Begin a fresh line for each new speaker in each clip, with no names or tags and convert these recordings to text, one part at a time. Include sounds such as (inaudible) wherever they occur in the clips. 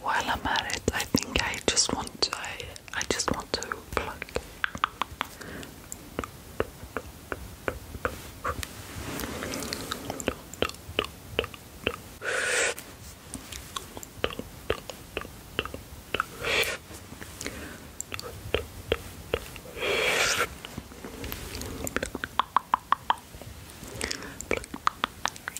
While I'm at it, I think I just want to, I, just want to plug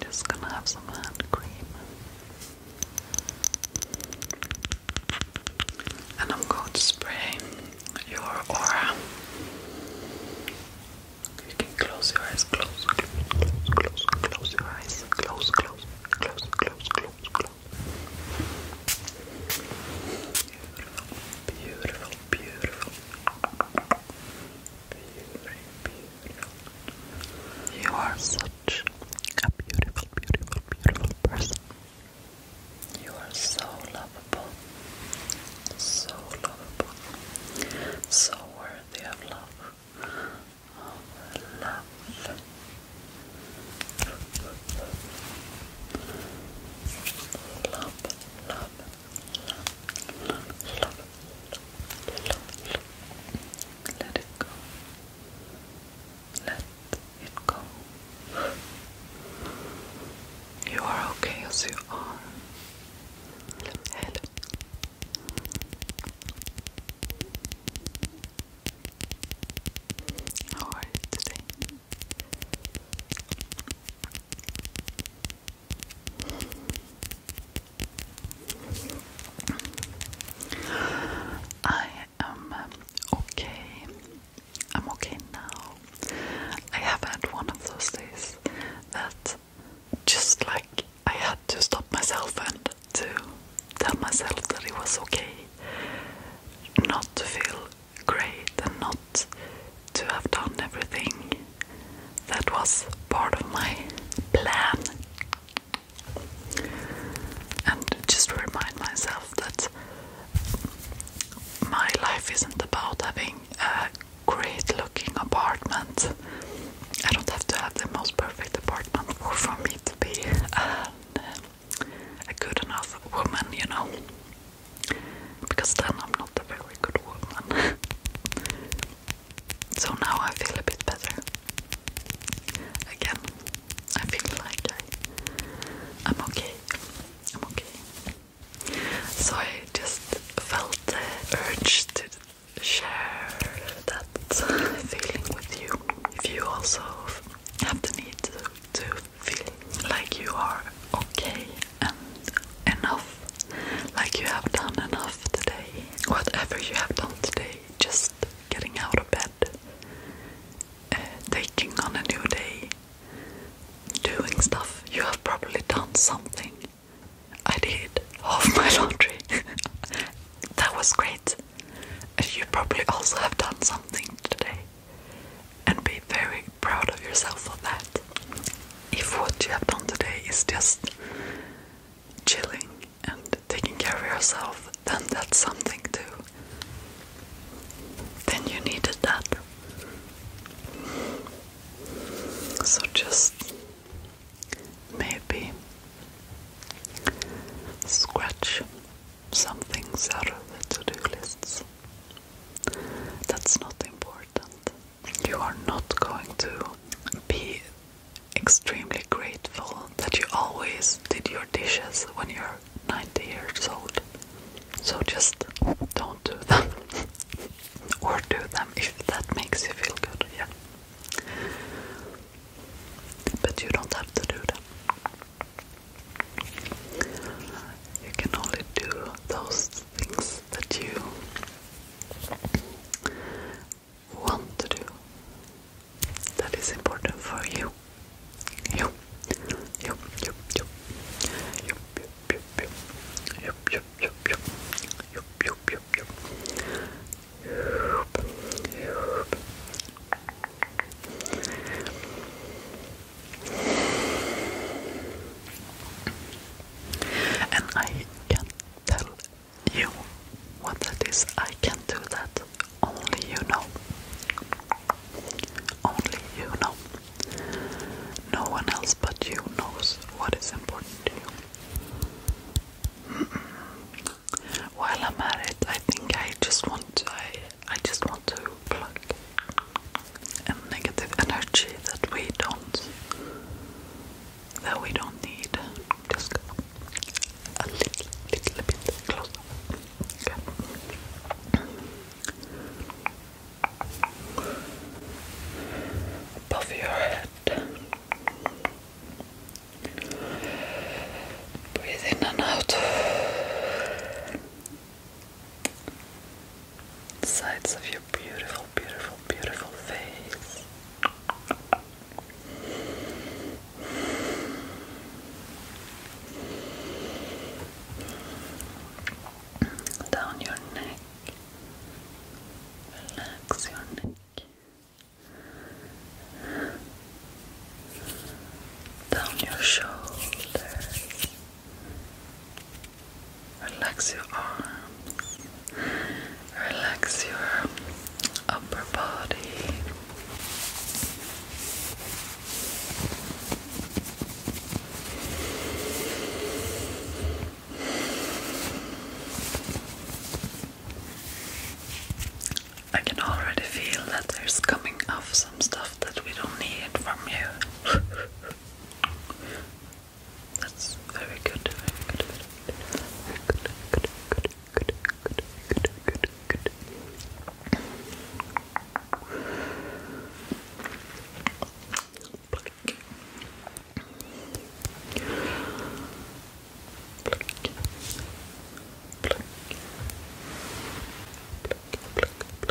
Just gonna have some hand cream. And I'm going to spray your aura. You can close your eyes, close, close, close, close your eyes, close, close, close, close, close, close. Beautiful, beautiful, beautiful. Beauty, beautiful. You are such a beautiful, beautiful, beautiful person. You are so lovable. So lovable. So worthy of love. Of love. Love, love, love, love, love. Let it go. Let it go. You are okay as you are. Hello. How are you today? I am um, okay. I'm okay now. I have had one of those days that just like I had to stop myself and to tell myself that it was okay not to feel great and not to have done everything that was part of my plan. And just remind myself that my life isn't about having a great looking apartment. I don't have to have the most perfect apartment for, me to be a good enough woman, you know because then I'm not a very good woman. (laughs) so now I feel a bit better. Again, I feel like I, I'm okay. I'm okay. So I just felt the urge to share that feeling with you. If you also have the need to to feel like you are okay and enough, like you have done enough today. Whatever you have done today, just getting out of bed, uh, taking on a new day, doing stuff, you have probably done something. I did of (laughs) my laundry. (laughs) that was great. You probably also have done something today and be very proud of yourself for that. If what you have done today is just chilling and taking care of yourself, then that's something too. Then you needed that. So just maybe scratch some things out of the to do lists. That's not important. You are not going to be extremely grateful that you always did your dishes when you're 90 years old. So just don't do them. (laughs) or do them if that makes you feel good, yeah. But you don't have to do them. You can only do those things that you want to do. That is important for you. You, you, you, you, you, you, you, you, you, you, you, you, you, you, you, you. And I can tell you what that is. I can do that. Only you know. Only you know. No one else but you knows what is important to you. While I'm at it, I think I just want to, I, I just want to plug and negative energy that we don't that we don't need. Just go a little, little bit closer. Above your head. Breathe in and out sides of your beautiful, beautiful, beautiful face. Down your neck, relax your neck. Down your shoulders, Relax your arms, relax your upper body. I can already feel that there's coming off some stuff that we don't need from you. (laughs) That's very good, very good, very good, very good, good, good, good, good, good, good. Pluck. Pluck. Pluck.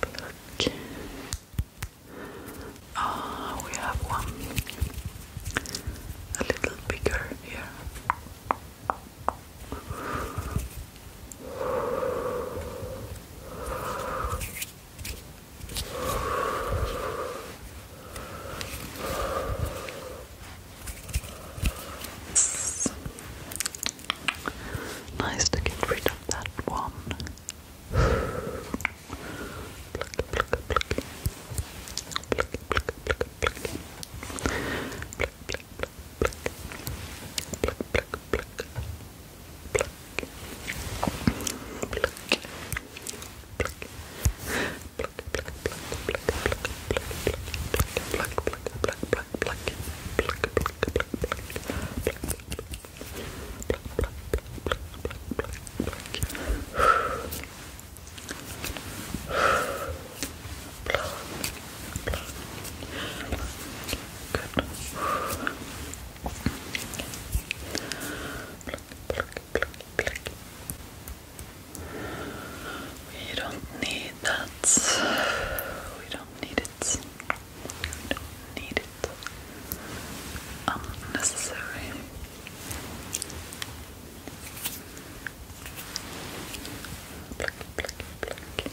Look. Ah, we have one a little bigger here. Nice to get rid of that one. (laughs) You don't need that. We don't need it don't need it. Unnecessary. Um, pluck, pluck, pluck. Pluck. Pluck.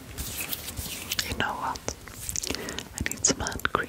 You know what? I need some hand cream.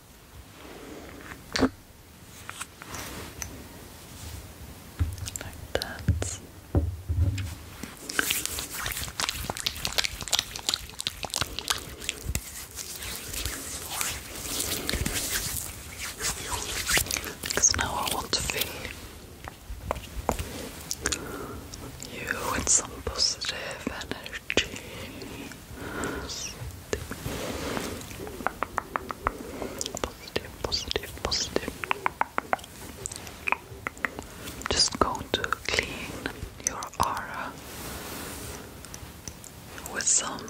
Like that. Because now I want to fill you with some positive energy. Positive, positive, positive. Just go to clean your aura with some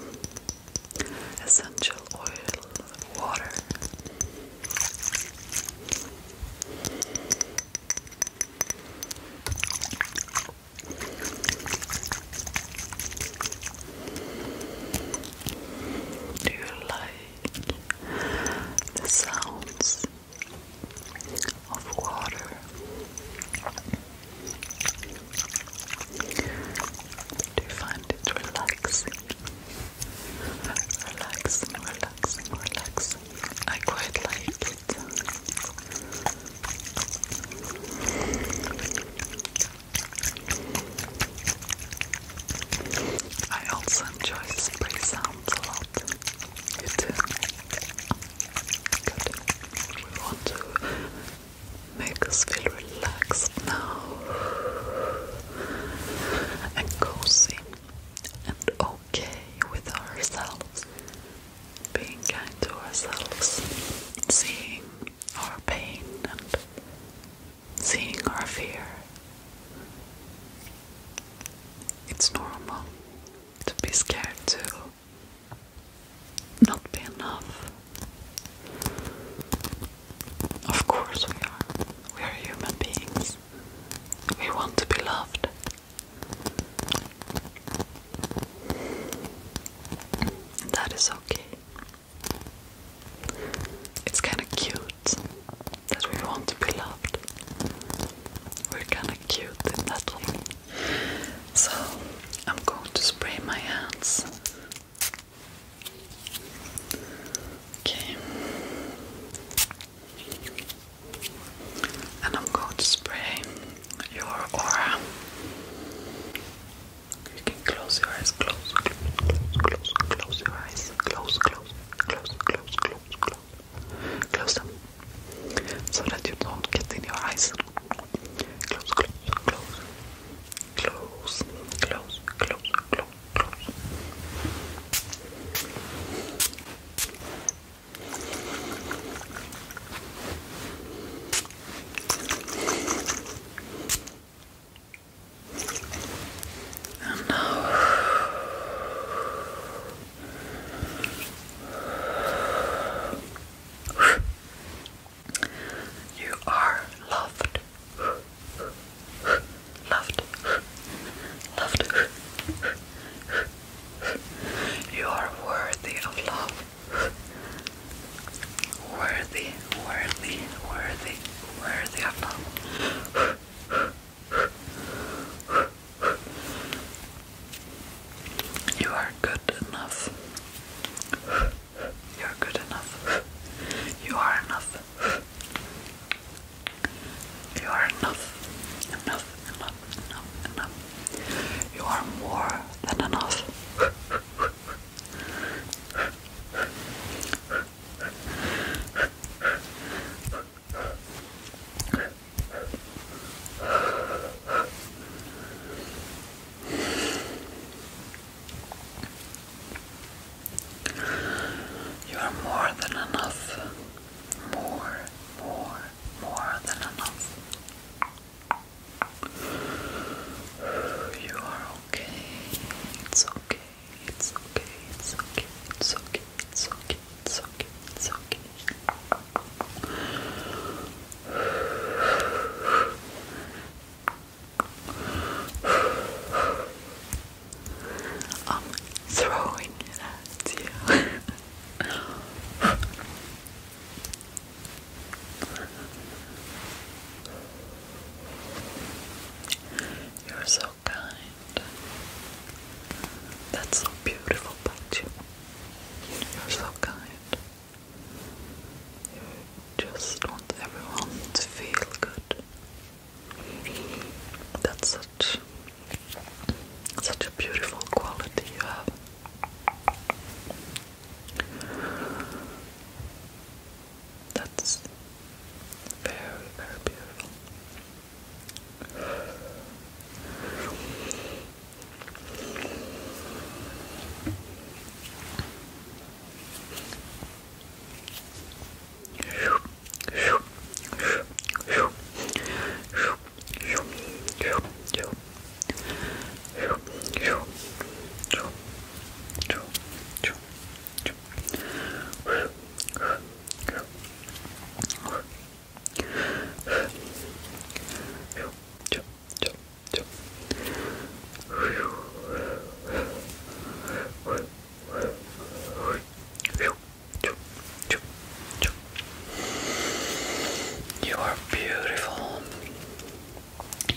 essential oil, water. Do you like the sounds of water? Do you find it relaxing? Relaxing, relaxing, relaxing. I quite like it. I also enjoy spray sounds a lot. You too? Good. We want to make us feel relaxed now and cozy and okay with ourselves. Being kind to ourselves, seeing our pain and seeing our fear. It's normal to be scared too. Not be enough. Of course, we are. We are human beings. We want to be loved. That is okay. It's kind of cute that we want to be loved. We're kind of cute in that way. So, I'm going to spray my hands. Okay. And I'm going to spray your aura. You can close your eyes, close, close, close, close your eyes, close, close, close, close, close, close, close them so that you don't get in your eyes. Close, close, close, close, close, close, close, close. Good. And now you are loved, loved, loved. You are worthy of love worthy, worthy, worthy, worthy of love. You are good enough. You're good enough. You are enough. You are enough, enough, enough, enough, enough. You are more than enough. You are more than enough. More, more, more than enough. You are okay. It's okay. It's okay. It's okay. It's okay. It's okay. It's okay. It's okay. I'm throwing it at you. You're so kind. That's so beautiful about you. You're so kind. You just want everyone to feel good. That's such such a beautiful quality you have. That's very, very beautiful. You are beautiful.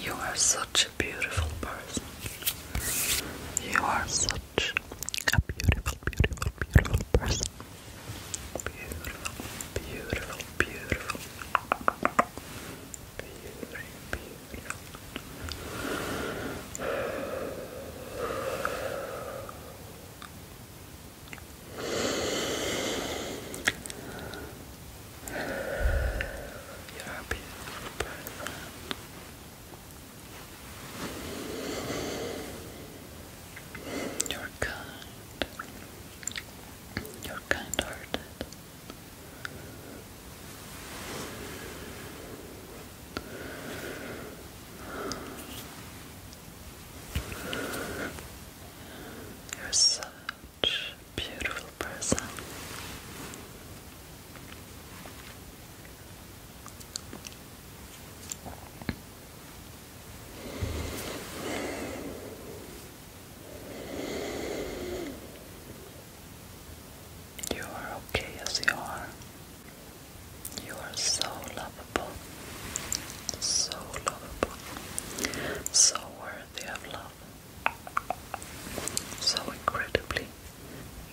You are such a beautiful person. You are such a beautiful, beautiful, beautiful person. Beautiful, beautiful, beautiful. Beauty, beautiful. You're happy You're kind. You're kind hearted. You're sad such beautiful person. You are okay as you are. You are so lovable, so lovable, so worthy of love. So incredibly,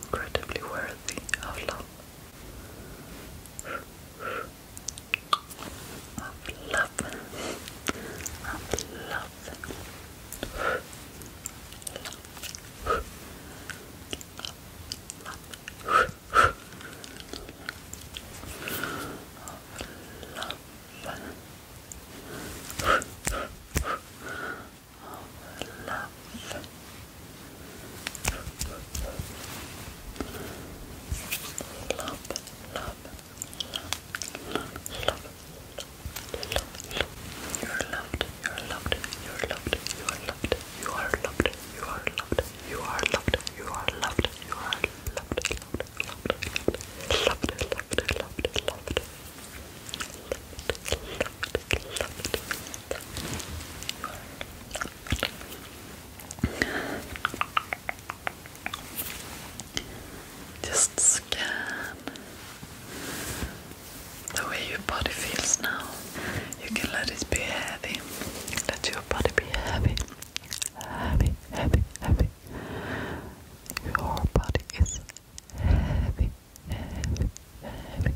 incredibly worthy of love. Of love. Of love. Love of love. Love, love, love, love. You're loved, you're loved, you're loved, you are loved, you are loved, you are loved, you are loved, you are loved, you are loved, just scan the way your body feels now. You can let it be heavy. Let your body be heavy. Heavy, heavy, heavy, your body is heavy, heavy, heavy.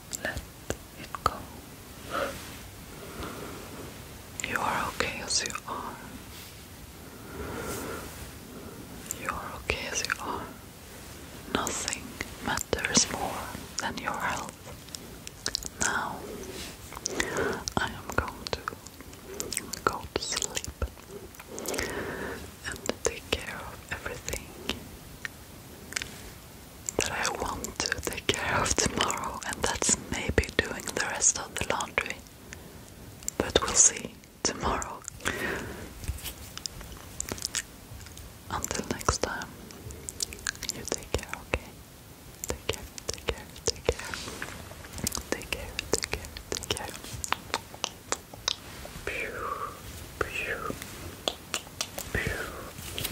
Let it go. You are okay as you are. You are okay as you are. Nothing matters more than your health. Now, I am going to go to sleep and take care of everything that I want to take care of tomorrow, and that's maybe doing the rest of the laundry. But we'll see tomorrow. Until next time, you take care, Take care, take care, take care. Take care, take care, take care. Pew,